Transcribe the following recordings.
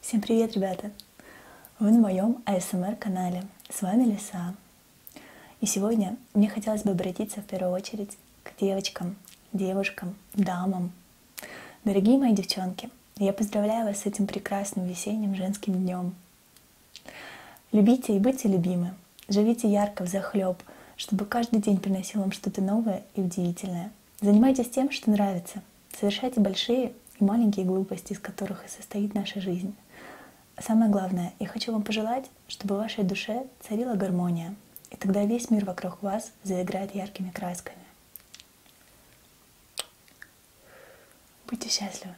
Всем привет, ребята! Вы на моем АСМР-канале. С вами Лиса. И сегодня мне хотелось бы обратиться в первую очередь к девочкам, девушкам, дамам. Дорогие мои девчонки, я поздравляю вас с этим прекрасным весенним женским днем. Любите и будьте любимы. Живите ярко в захлеб, чтобы каждый день приносил вам что-то новое и удивительное. Занимайтесь тем, что нравится. Совершайте большие и маленькие глупости, из которых и состоит наша жизнь. Самое главное, я хочу вам пожелать, чтобы в вашей душе царила гармония, и тогда весь мир вокруг вас заиграет яркими красками. Будьте счастливы.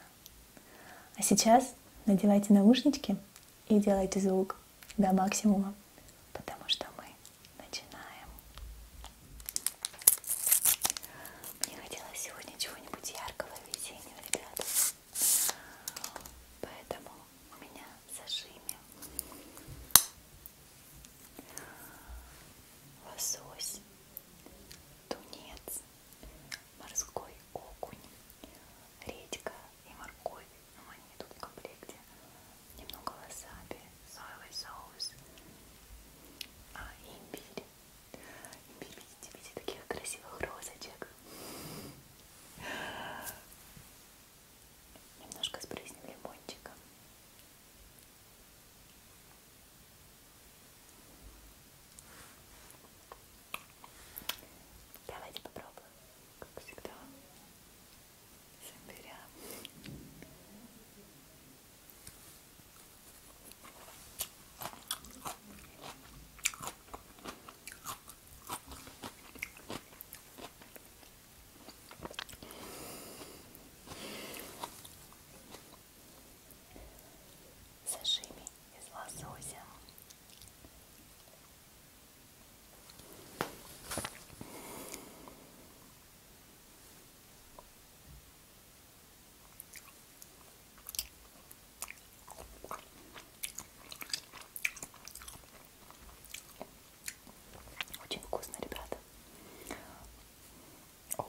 А сейчас надевайте наушнички и делайте звук до максимума, потому что мы начинаем. Мне хотелось сегодня чего-нибудь яркого весеннего, ребята. Поэтому у меня зажими лосось, тунец, морской окунь, редька и морковь, но ну, они идут в комплекте. Немного васаби, соевый соус, а, и имбирь. Имбирь, видите, видите, таких красивых розочек. Немножко сбрызнем лимончиком. Давайте попробуем как всегда, с имбиря. Сашими из лосося очень вкусно, ребята. Оу.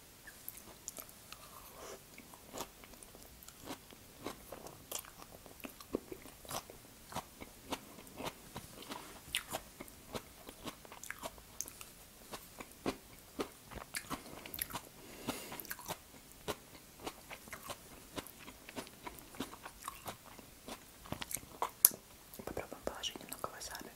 Попробуем положить немного васаби.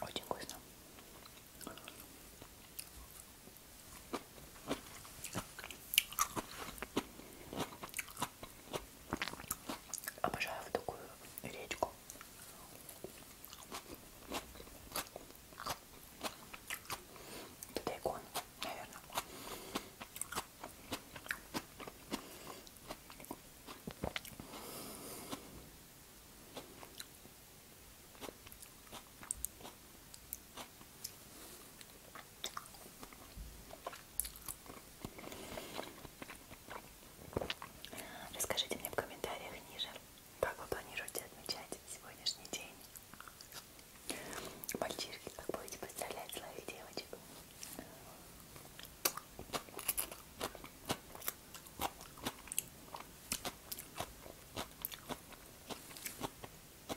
Очень вкусно. Обожаю вот такую речку. Это тайкон, наверное. Расскажите мне в комментариях ниже, как вы планируете отмечать сегодняшний день. Мальчишки, как будете представлять своих девочек?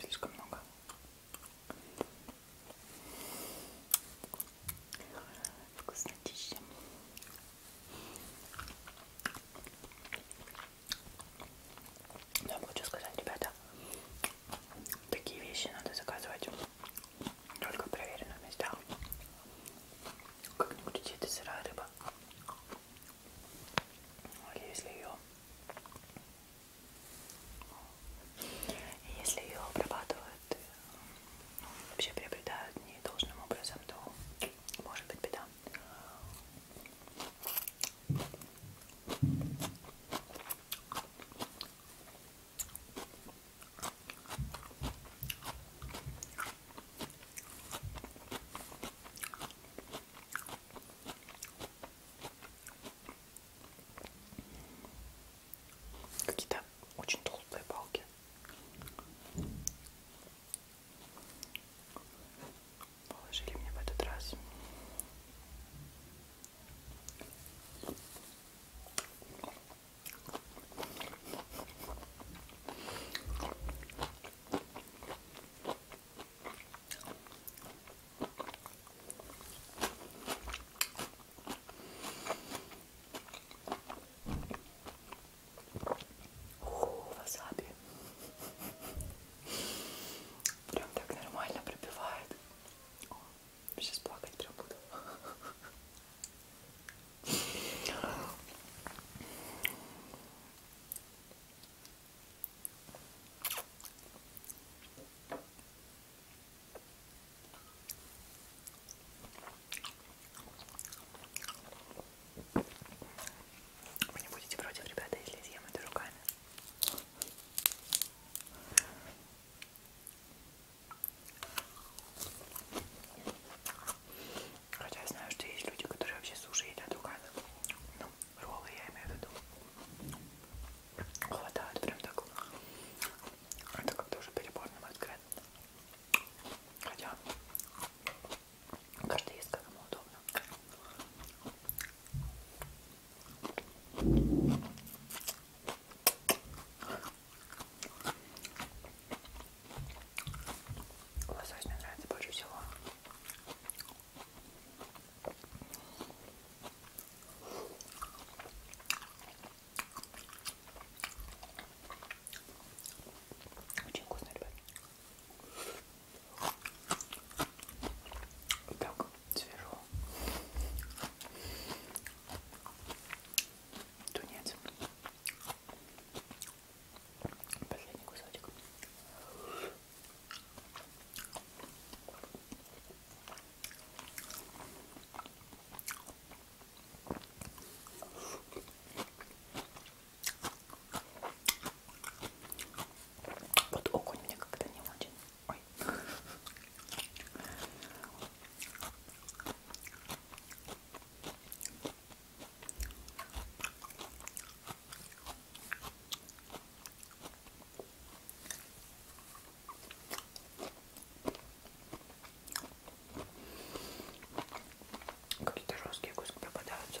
Слишком много. Вкуснотища. Я хочу сказать, ребята, Такие вещи надо заказывать только в проверенных местах. Как-нибудь где-то сырая рыба. Или если ее если ее обрабатывают, э, ну, вообще приобретают не должным образом, то может быть беда. Какие-то очень толстые палки. Положили мне в этот раз. Фу, васаби. Прям так нормально пробивает. О, сейчас плакать прям буду. Вы не будете против, ребята, если съем это руками. Хотя я знаю, что есть люди, которые вообще суши едят руками. Ну, роллы я имею в виду. Хватает прям так. Это как-то уже перебор, на мой взгляд. Хотя каждый ест как ему удобно. Лосось мне нравится больше всего. Очень вкусно, ребят. Так, свежо. Тунец. Последний кусочек. Вот окунь мне как-то не очень. Ой. Какие-то жесткие куски попадаются.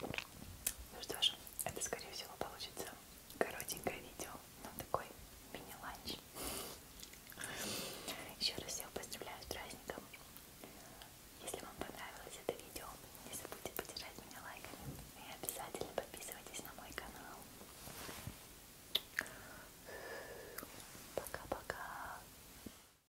Ну что ж, это скорее всего получится коротенькое видео, но такой мини-ланч. Еще раз всех поздравляю с праздником. Если вам понравилось это видео, не забудьте поддержать меня лайками и обязательно подписывайтесь на мой канал. Пока-пока!